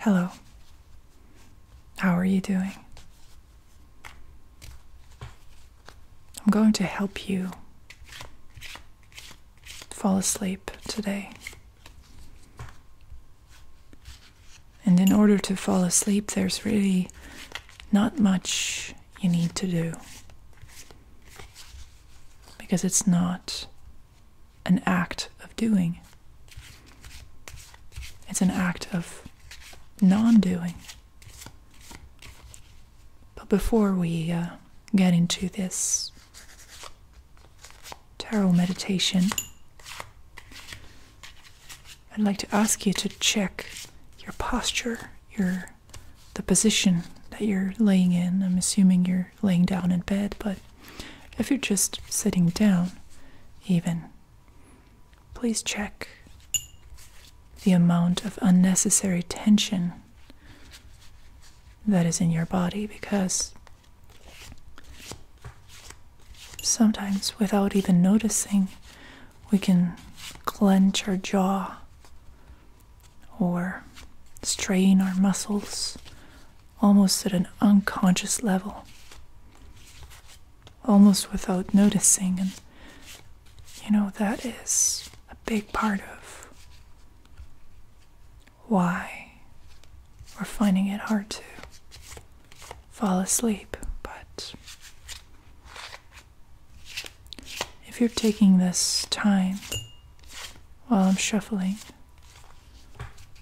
Hello. How are you doing? I'm going to help you fall asleep today. And in order to fall asleep, there's really not much you need to do. Because it's not an act of doing, it's an act of non doing. But before we uh, get into this tarot meditation, I'd like to ask you to check your posture, your the position that you're laying in. I'm assuming you're laying down in bed, but if you're just sitting down, even, please check the amount of unnecessary tension that is in your body because Sometimes, without even noticing, we can clench our jaw or strain our muscles almost at an unconscious level, almost without noticing. And you know, that is a big part of why we're finding it hard to fall asleep. But if you're taking this time while I'm shuffling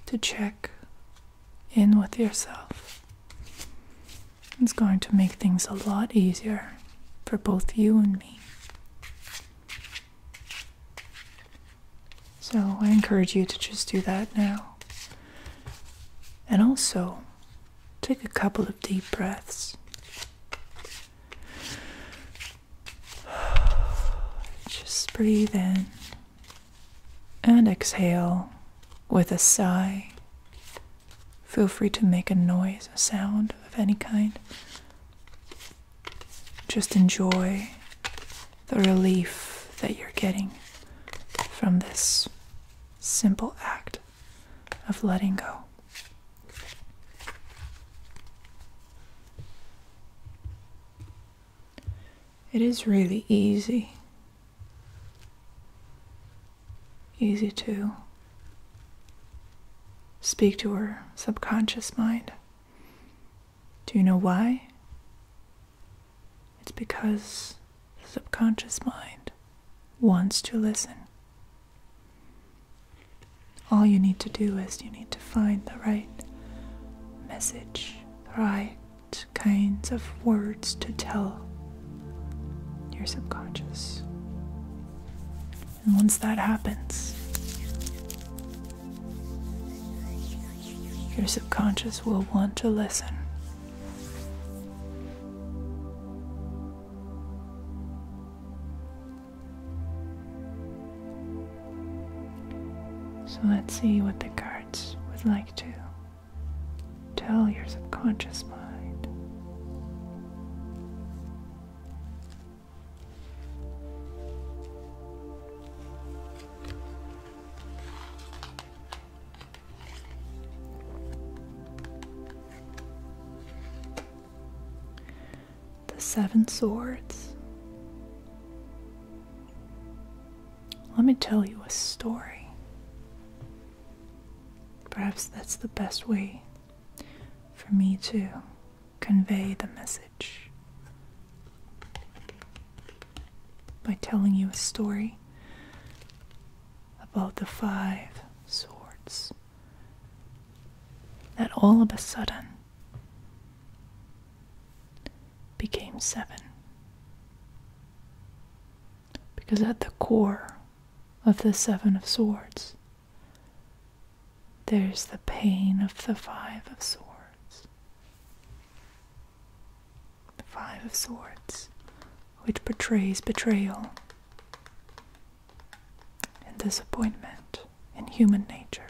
to check in with yourself, it's going to make things a lot easier for both you and me. So I encourage you to just do that now. And also, Take a couple of deep breaths. Just breathe in and exhale with a sigh. Feel free to make a noise, a sound of any kind. Just enjoy the relief that you're getting from this simple act of letting go. It is really easy. Easy to speak to her subconscious mind. Do you know why? It's because the subconscious mind wants to listen. All you need to do is you need to find the right message, the right kinds of words to tell your subconscious. And once that happens, your subconscious will want to listen so let's see what the cards would like to tell your subconscious mind. The Seven Swords. Let me tell you a story. Perhaps that's the best way for me to convey the message by telling you a story about the five swords. That all of a sudden became seven. Because at the core of the Seven of Swords, there's the pain of the Five of Swords the Five of Swords, which portrays betrayal and disappointment in human nature.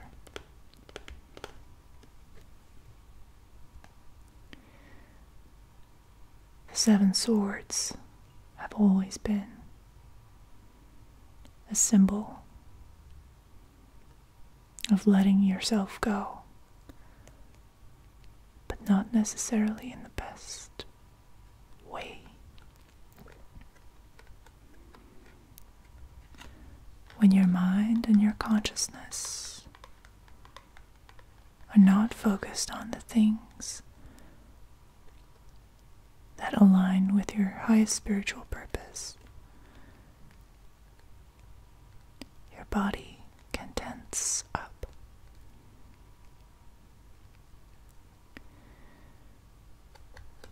Seven Swords have always been a symbol of letting yourself go, but not necessarily in the best way. When your mind and your consciousness are not focused on the things that align with your highest spiritual purpose, your body can up.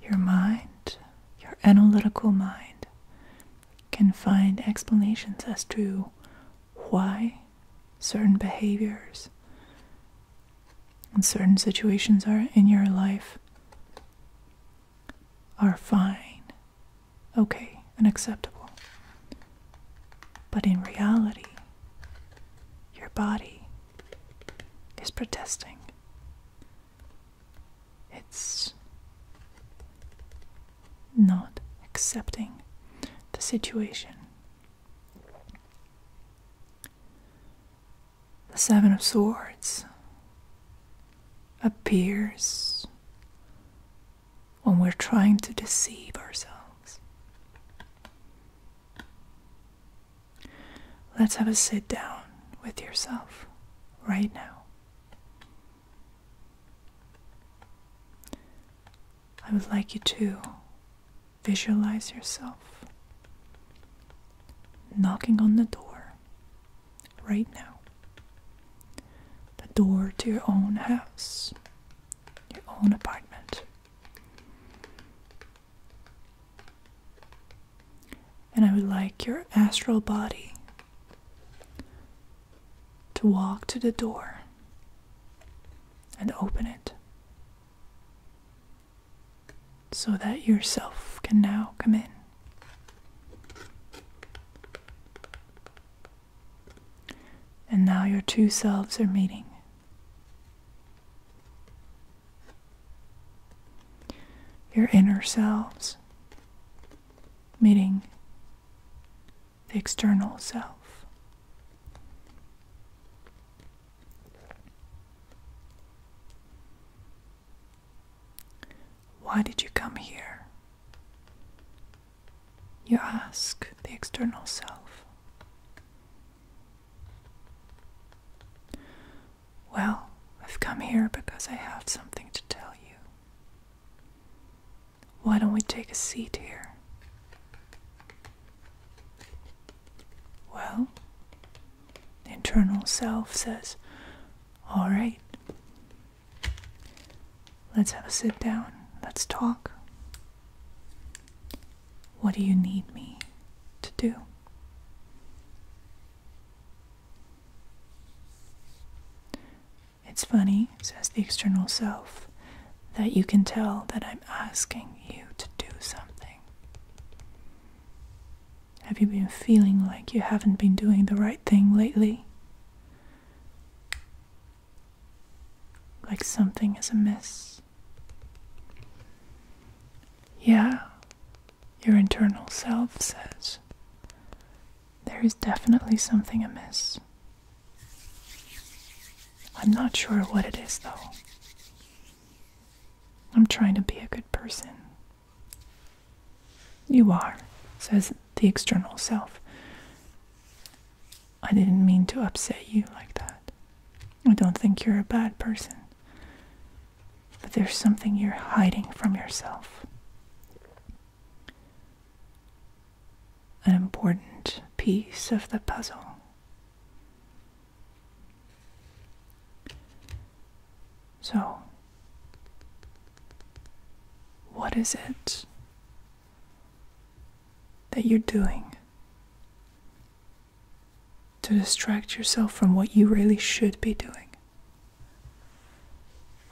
Your mind, your analytical mind, can find explanations as to why certain behaviors and certain situations are in your life are fine, okay, and acceptable. But in reality, your body is protesting. It's not accepting the situation. The Seven of Swords appears when we're trying to deceive ourselves. Let's have a sit down with yourself right now. I would like you to visualize yourself knocking on the door right now. The door to your own house, your own apartment. And I would like your astral body to walk to the door and open it so that yourself can now come in. And now your two selves are meeting. Your inner selves meeting the external self. Why did you come here? you ask the external self, Well, I've come here because I have something to tell you. Why don't we take a seat here? Well, the internal self says, All right, Let's have a sit down. Let's talk. What do you need me to do? It's funny, says the external self, that you can tell that I'm asking you to do something. Have you been feeling like you haven't been doing the right thing lately? like something is amiss. Yeah, your internal self says there is definitely something amiss. I'm not sure what it is though. I'm trying to be a good person. You are, says the external self. I didn't mean to upset you like that. I don't think you're a bad person. But there's something you're hiding from yourself. An important piece of the puzzle. So, what is it that you're doing to distract yourself from what you really should be doing.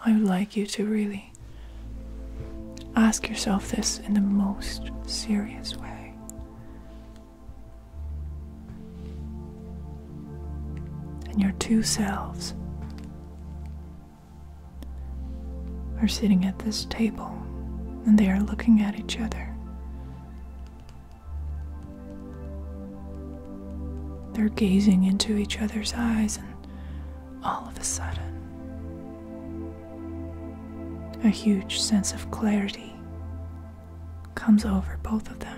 I would like you to really ask yourself this in the most serious way. And your two selves are sitting at this table and they are looking at each other. They're gazing into each other's eyes, and all of a sudden, a huge sense of clarity comes over both of them.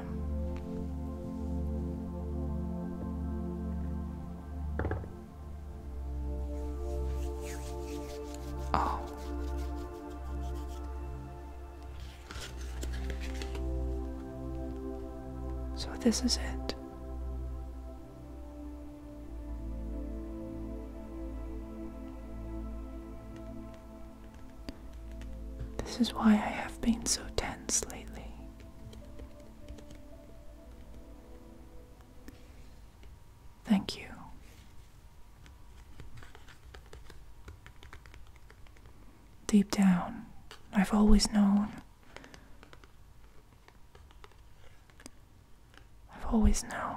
Oh. So this is it. This is why I have been so tense lately. Thank you. Deep down, I've always known. I've always known.